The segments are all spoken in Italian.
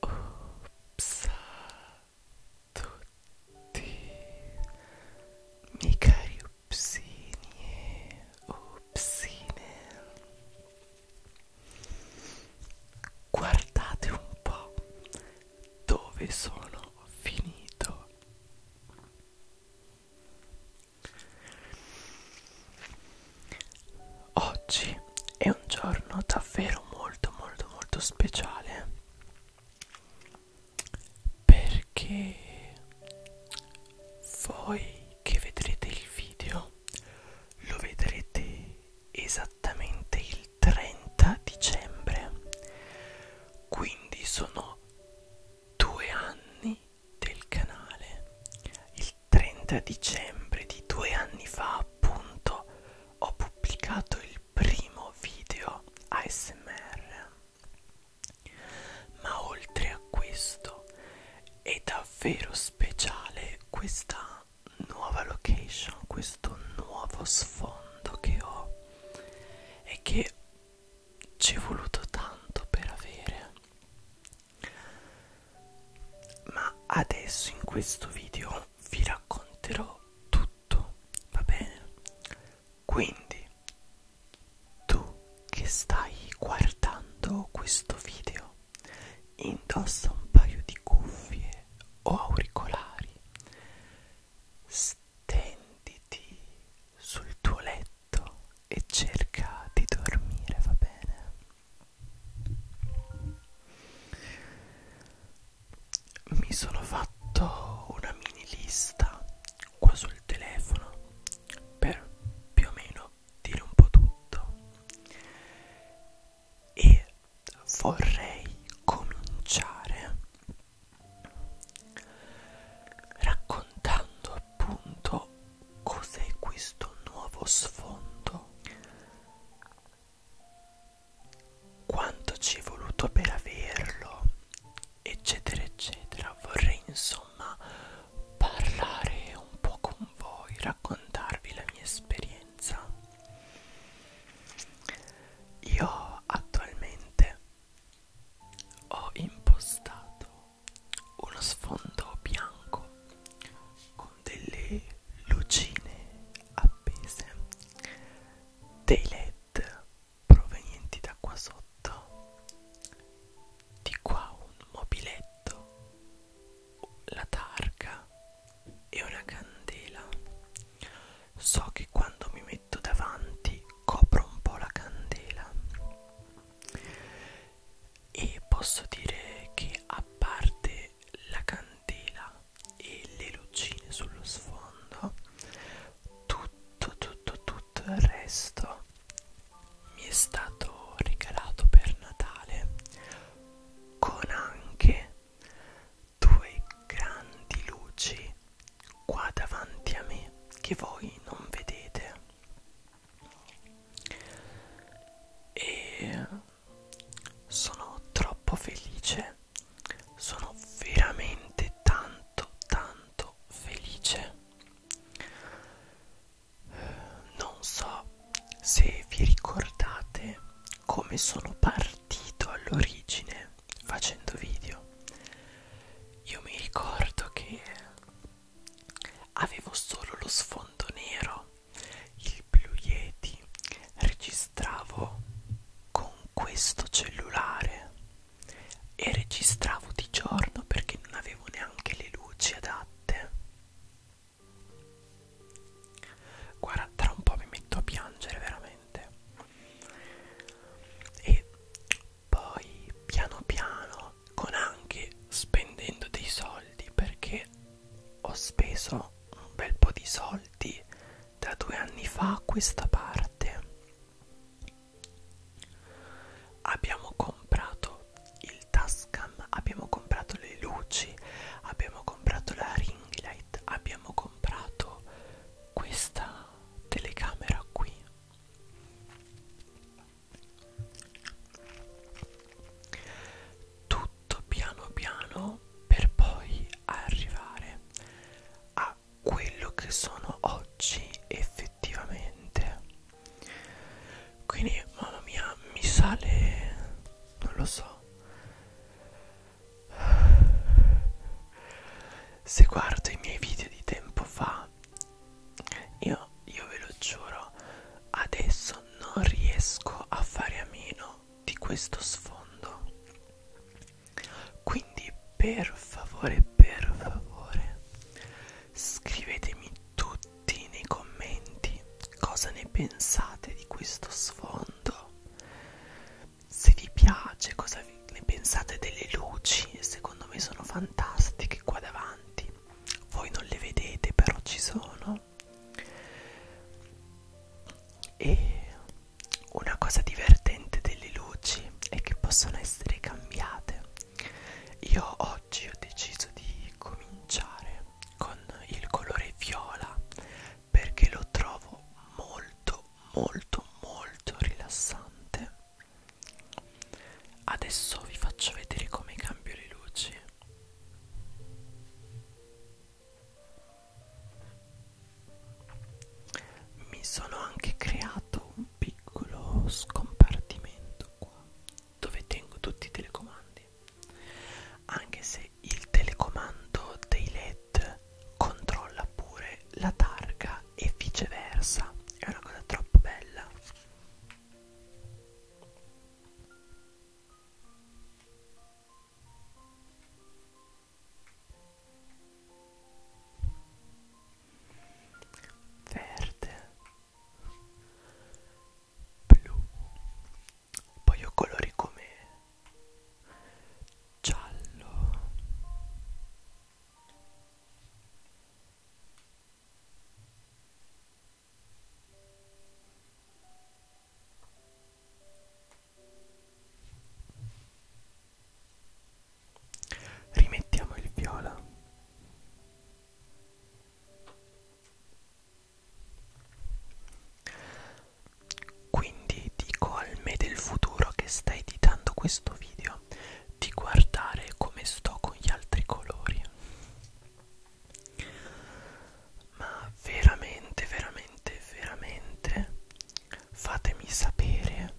Ops a tutti miei cari upsini e upsine Guardate un po' dove sono finito Oggi è un giorno davvero molto molto molto speciale perché voi che vedrete il video lo vedrete esattamente il 30 dicembre quindi sono due anni del canale il 30 dicembre di due anni fa appunto ho pubblicato il primo video ASMR ma oltre a questo è davvero speciale questa nuova location questo nuovo sfondo che ho è che ci è voluto tanto per avere ma adesso in questo video vi racconterò tutto va bene quindi tu che stai guardando questo video indossa un paio di cuffie o auricolari Stenditi sul tuo letto e cerca di dormire, va bene? Mi sono fatto una mini lista qua sul telefono per più o meno dire un po' tutto e vorrei cominciare raccontando appunto cos'è questo nuovo sfondo quanto ci è voluto per averlo eccetera eccetera vorrei insomma parlare un po' con voi raccontarvi la mia esperienza io attualmente ho impostato uno sfondo bianco con delle lucine appese, dei led provenienti da qua sotto, di qua un mobiletto, la targa e una candela so che quando mi metto davanti copro un po' la candela e posso dire che a parte la candela e le lucine sullo sfondo tutto tutto tutto il resto mi è stato regalato per Natale con anche due grandi luci qua davanti a me che voi non vedete e sono troppo felice sono veramente tanto tanto felice non so se vi ricordate come sono partito all'origine facendo video io mi ricordo che avevo solo lo sfondo nero il Blue Yeti registravo con questo cellulare e registravo di giorno perché non avevo neanche le luci adatte Guarda, tra un po' mi metto a piangere veramente. E poi piano piano, con anche spendendo dei soldi, perché ho speso un bel po' di soldi da due anni fa a questa parte. Abbiamo comprato il Tascam, abbiamo comprato le luci, abbiamo comprato la ring light, abbiamo comprato questa telecamera qui tutto piano piano per poi arrivare a quello che sono oggi effettivamente quindi mamma mia mi sale non lo so se guardo i miei video di tempo fa io, io ve lo giuro adesso non riesco a fare a meno di questo sfondo quindi per favore per favore scrivetemi tutti nei commenti cosa ne pensate di questo sfondo se vi piace cosa vi, ne pensate delle luci secondo me sono fantastiche qua davanti voi non le vedete però ci sono e una cosa divertente delle luci è che possono essere cambiate io oggi ho deciso di cominciare con il colore viola perché lo trovo molto molto molto rilassante adesso vi faccio vedere come cambio le luci mi sono anche creato un piccolo scompartimento qua dove tengo tutti i telecomandi anche se il telecomando dei led controlla pure la targa e viceversa è una cosa troppo bella verde blu poi ho colori come giallo rimettiamo il viola quindi dico al me del futuro che sta editando questo video di guardare come sto con gli altri colori. Ma veramente, veramente, veramente fatemi sapere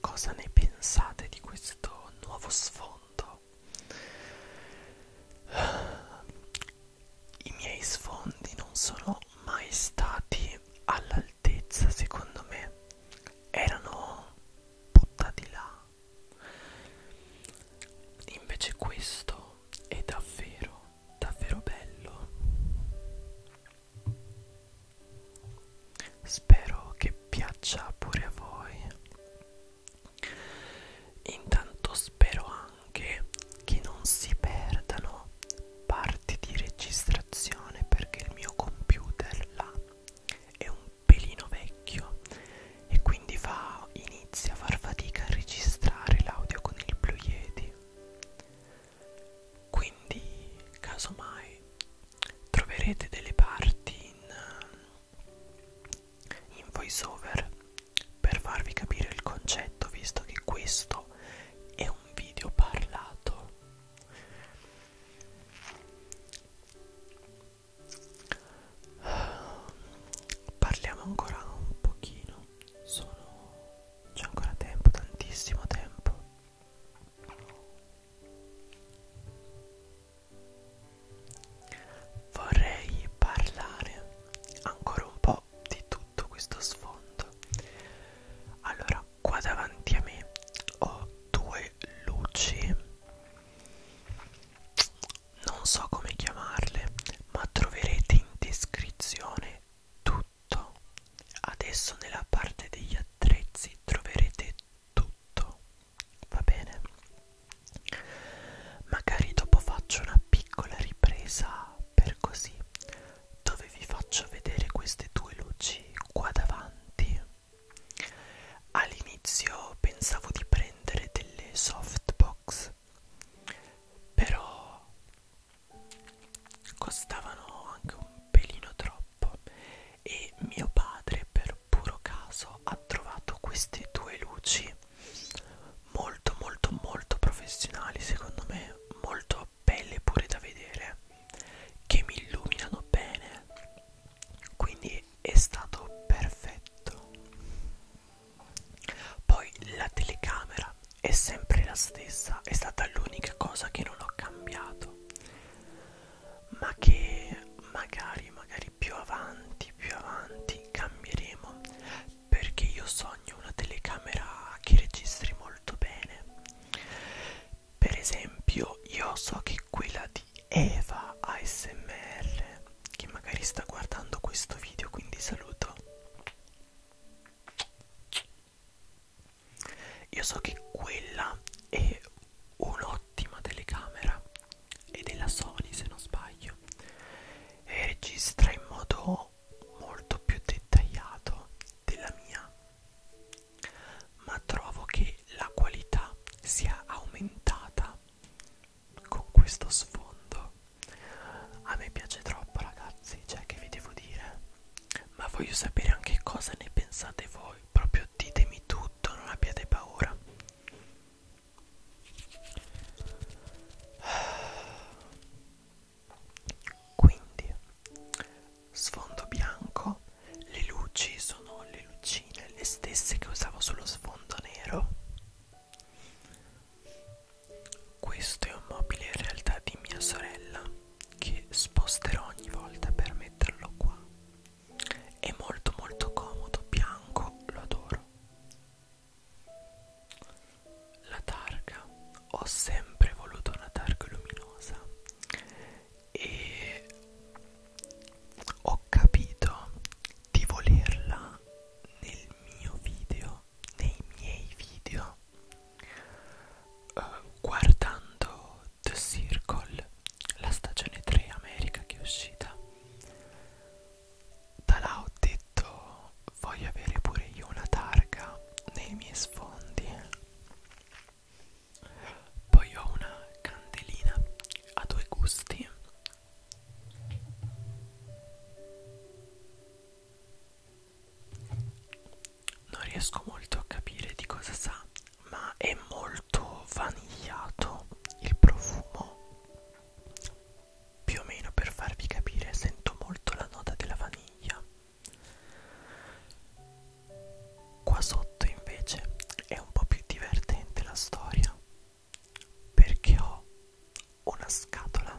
cosa ne pensate di questo nuovo sfondo i miei sfondi non sono mai stati all'altezza secondo me erano buttati là invece questo è davvero davvero bello spero che piaccia pure a voi intanto spero anche anche che non si perdano parti di registrazione perché il mio computer là è un pelino vecchio e quindi fa, inizia a far fatica a registrare l'audio con il Blue Yeti quindi casomai troverete delle parti in, um, in voice over per farvi capire il concetto visto che questo è un video parlato parliamo ancora un pochino sono c'è ancora tempo tantissimo tempo Vorrei parlare ancora un po' di tutto sotto questo sfondo allora qua davanti a me ho due luci non so come chiamarle ma troverete in descrizione tutto adesso nella parte degli attrezzi troverete tutto va bene magari dopo faccio una una piccola ripresa per così dove vi faccio vedere queste due luci qua davanti all'inizio pensavo di prendere delle softbox però costavano anche un pelino troppo e mio padre per puro caso ha trovato queste due luci molto molto molto professionali secondo me molto belle pure da vedere che mi illuminano bene quindi è stato perfetto poi la telecamera è sempre la stessa è stata l'unica cosa che non ho cambiato ma che magari magari più avanti più avanti cambieremo perché io sogno una telecamera che registri molto bene per esempio io so che quella di Eva ASMR che magari sta guardando questo video quindi saluto io so che quella è un'ottima telecamera è della Sony se non sbaglio e registra in modo molto più dettagliato della mia ma trovo che la qualità sia aumentata con questo sfondo a me piace troppo ragazzi cioè che vi devo dire ma voglio sapere anche cosa ne pensate voi proprio ditemi tutto non abbiate paura quindi sfondo bianco, le luci sono le lucine, le stesse che usavo sullo sfondo nero. Questo è un mobile in realtà di mia sorella che sposterò ogni volta per metterlo qua. È molto molto comodo, bianco, lo adoro. La targa, ho sempre voluto una targa luminosa e ho capito di volerla nel mio video, nei miei video, uh, guardando The Circle, la stagione 3 America che è uscita da là ho detto voglio avere pure io una targa nei miei sfondi poi ho una candelina a due gusti non riesco molto a capire di cosa sa ma è molto vanigliato il profumo più o meno per farvi capire sento molto la nota della vaniglia. Qua sotto invece è un po' più divertente la storia perché ho una scatola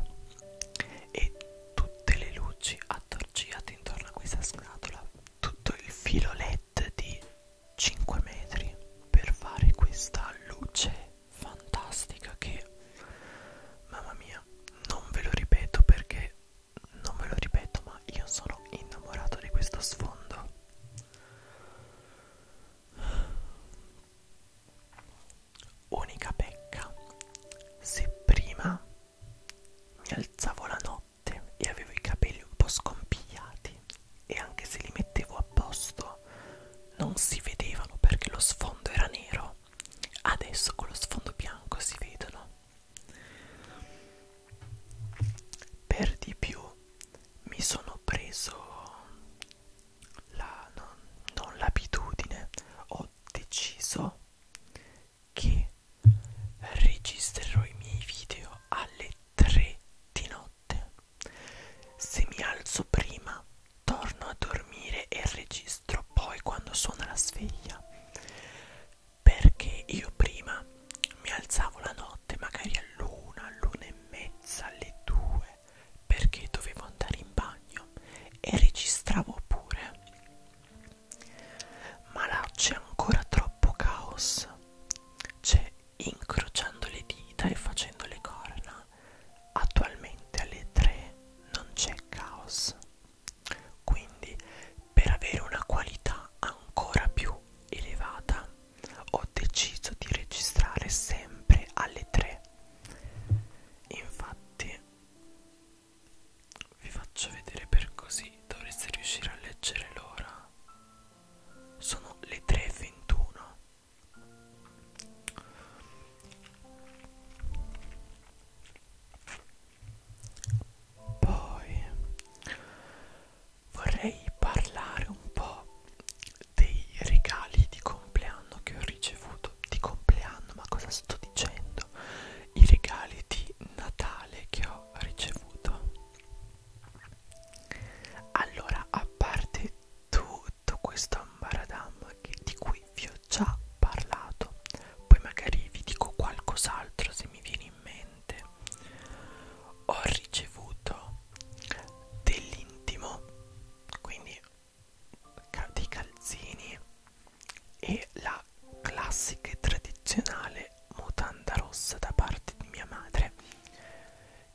e tutte le luci attorciate intorno a questa scatola, tutto il filo LED di 5 metri per fare questa luce fantastica che mamma mia non ve lo ripeto perché non ve lo ripeto ma io sono innamorato di questo sfondo unica pecca se prima mi alzavo la notte e avevo i capelli un po' scompigliati e anche se li mettevo a posto non si vedevano perché lo sfondo era nero adesso con lo sfondo bianco si vedono per di più mi sono preso la, non, non l'abitudine ho deciso che registrerò i miei video alle 3 di notte se mi alzo prima, torno a dormire e registro poi quando suona la sveglia. Perché io prima mi alzavo la notte, magari all'una, all'una e mezza, alle due, perché dovevo andare in bagno e registravo pure. Ma là c'è ancora troppo caos. C'è incrociando le dita e facendo le corna. Attualmente alle 3 non c'è caos. Quindi per avere una qualità ancora più elevata ho deciso di registrare sempre alle 3. Infatti vi faccio vedere per così dovreste riuscire a leggere l'ora. Sono le 3.21 poi vorrei parlare un po' dei regali di compleanno che ho ricevuto. Di compleanno, ma cosa sto dicendo? I regali di Natale che ho ricevuto allora a parte tutto questo ambaradam di cui vi ho già parlato poi magari vi dico qualcos'altro se mi viene in mente ho ricevuto dell'intimo quindi dei calzini e la classica e tradizionale mutanda rossa da parte di mia madre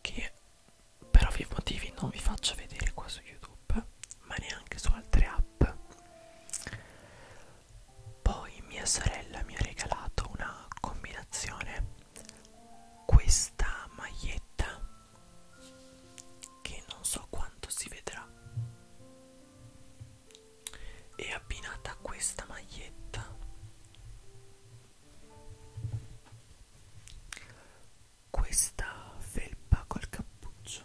che per ovvi motivi non vi faccio vedere qua su youtube ma neanche su altre app poi mia sorella mi ha regalato una combinazione questa maglietta che non so quanto si vedrà e abbinata a questa maglietta questa felpa col cappuccio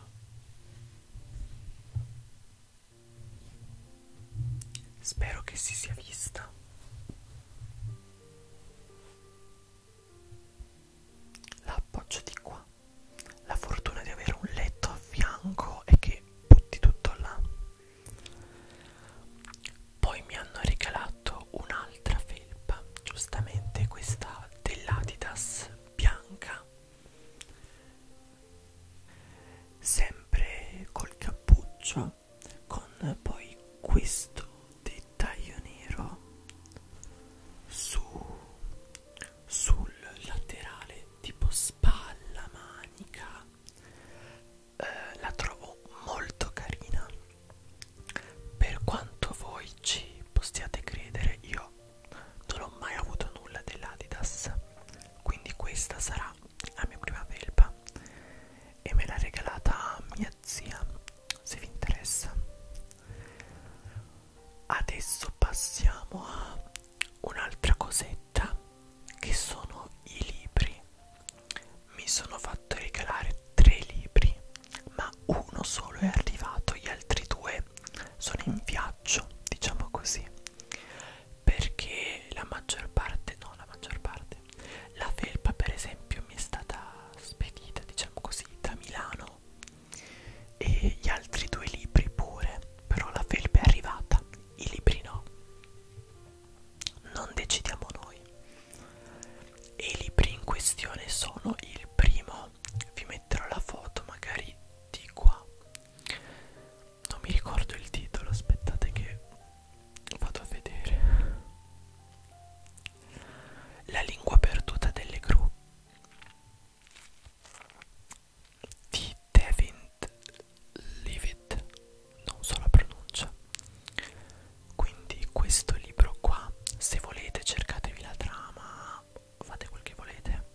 spero che si sia vista la appoggio di qua la fortuna di avere un letto a fianco è che butti tutto là poi mi hanno regalato un'altra felpa, giustamente questa dell'Adidas bianca, sempre col cappuccio, con poi questo dettaglio nero su, sul laterale tipo spalla manica eh, la trovo molto carina per quanto voi ci possiate credere io non ho mai avuto nulla dell'Adidas quindi questa sarà la mia prima felpa e me l'ha regalata mia zia se vi interessa adesso passiamo a un'altra cosetta che sono i libri mi sono fatto regalare tre libri, ma uno solo è arrivato, gli altri due sono in viaggio, diciamo così, perché la maggior parte, no, la maggior parte, la felpa per esempio mi è stata spedita, diciamo così, da Milano e gli altri due libri pure, però la felpa è arrivata, i libri no. Non decidiamo noi e i libri in questione sono il primo vi metterò la foto magari di qua non mi ricordo il titolo aspettate che vado a vedere la lingua perduta delle gru di David Leavitt non so la pronuncia quindi questo libro qua se volete cercatevi la trama fate quel che volete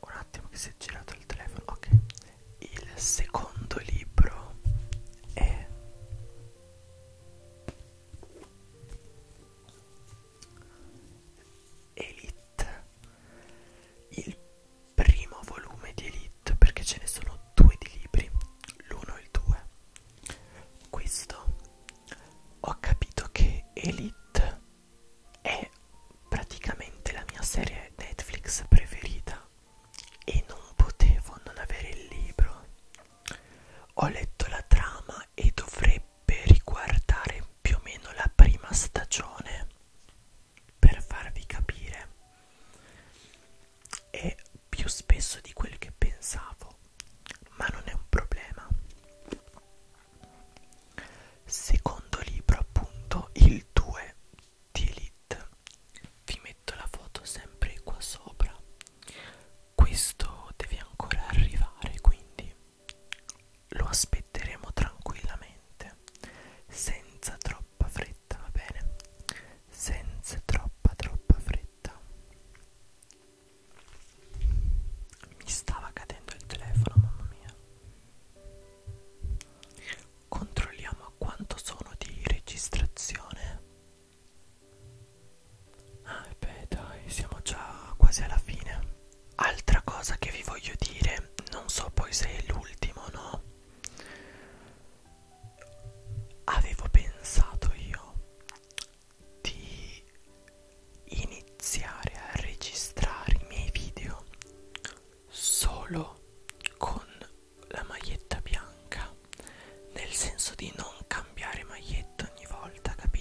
un attimo che si è girato il telefono ok il secondo libro è Elite il primo volume di Elite perché ce ne sono due di libri, l'uno e il due. Questo ho capito che Elite è praticamente la mia serie Netflix preferita e non potevo non avere il libro. Ho letto la trama e dovrebbe riguardare più o meno la prima stagione per farvi capire è più spesso di quel che pensavo ma non è un problema secondo libro appunto il 2 di Elite vi metto la foto sempre qua sopra questo deve ancora arrivare quindi lo aspetteremo tranquillamente, senza troppa fretta, va bene? Senza troppa troppa fretta. Mi stava cadendo il telefono, mamma mia. Controlliamo a quanto sono di registrazione. Ah, beh, dai, siamo già quasi alla fine altra cosa che vi voglio dire non so poi se è l'ultimo no avevo pensato io di iniziare a registrare i miei video solo con la maglietta bianca nel senso di non cambiare maglietta ogni volta capito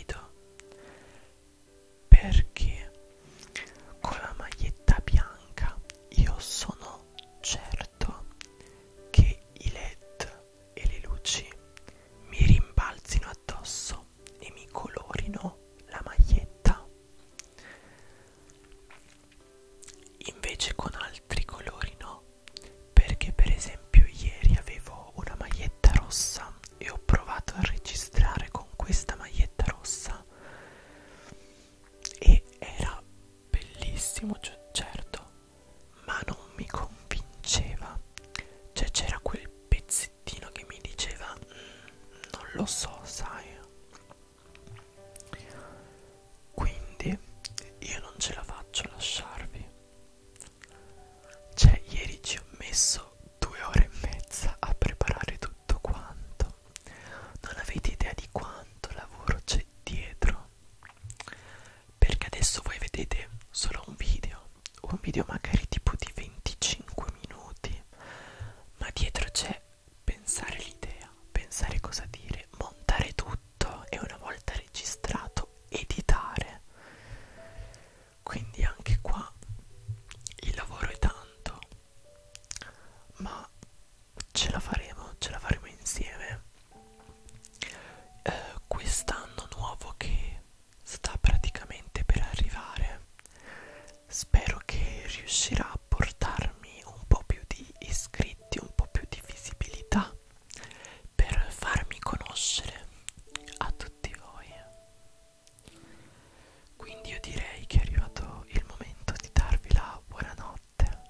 perché con la maglietta bianca io sono certo che i led e le luci mi rimbalzino addosso e mi colorino la maglietta invece con altri colori no perché per esempio ieri avevo una maglietta rossa e ho provato a registrare con questa maglietta rossa vita e era bellissimo cioè, certo ma non mi convinceva cioè c'era quel pezzettino che mi diceva mm, non lo so sai quindi io non ce la faccio a lasciarvi cioè ieri ci ho messo due ore e mezza a preparare tutto tutto quanto non avete idea di quanto lavoro c'è dietro perché adesso voi vedete solo un video un video magari tipo di 25 minuti ma dietro c'è pensare l'idea pensare cosa dire montare tutto e una volta registrato editare quindi anche qua il lavoro è tanto ma ce la faremo, ce la faremo insieme. Eh, Quest'anno nuovo che sta praticamente per arrivare, spero che riuscirà a portarmi un po' più di iscritti, un po' più di visibilità per farmi conoscere a tutti voi. Quindi io direi che è arrivato il momento di darvi la buonanotte.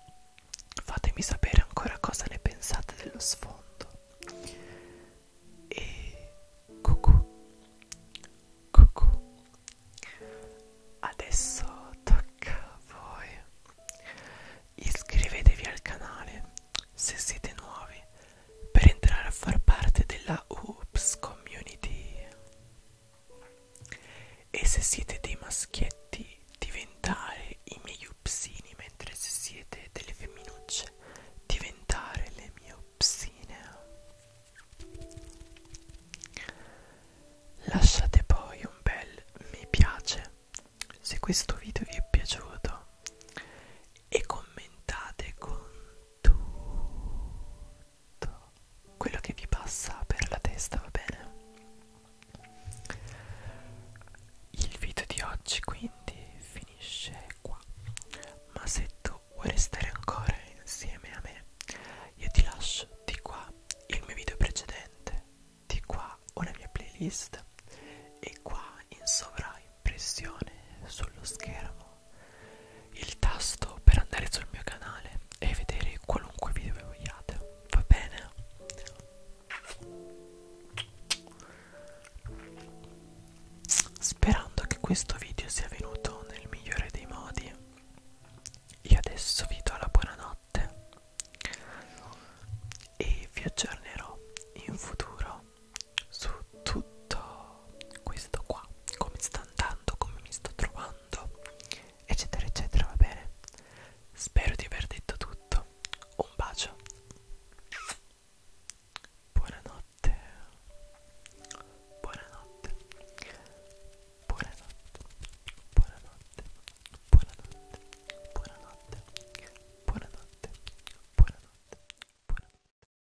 Fatemi sapere ancora cosa ne pensate dello sfondo. E cucù, cucù. Adesso tocca a voi. Iscrivetevi al canale se siete nuovi per entrare a far parte della Oops Community. E se siete dei maschietti, diventare i miei upsini, mentre se siete delle femminucce, diventare le mie upsine. Lasciate poi un bel mi piace se questo video vi è piaciuto e commentate con tutto quello che vi passa per la testa, va bene? Il video di oggi quindi finisce qua, ma se tu vuoi restare ancora insieme a me, io ti lascio di qua il mio video precedente, di qua una mia playlist e qua in sovraio impressione sullo schermo il tasto per andare sul mio canale e vedere qualunque video che vogliate va bene sperando che questo video sia venuto nel migliore dei modi io adesso vi do la buonanotte e vi aggiornerò in futuro su tutto questo qua come sta andando come mi sto trovando eccetera eccetera va bene spero di aver detto tutto un bacio buonanotte buonanotte buonanotte buonanotte buonanotte buonanotte buonanotte buonanotte buonanotte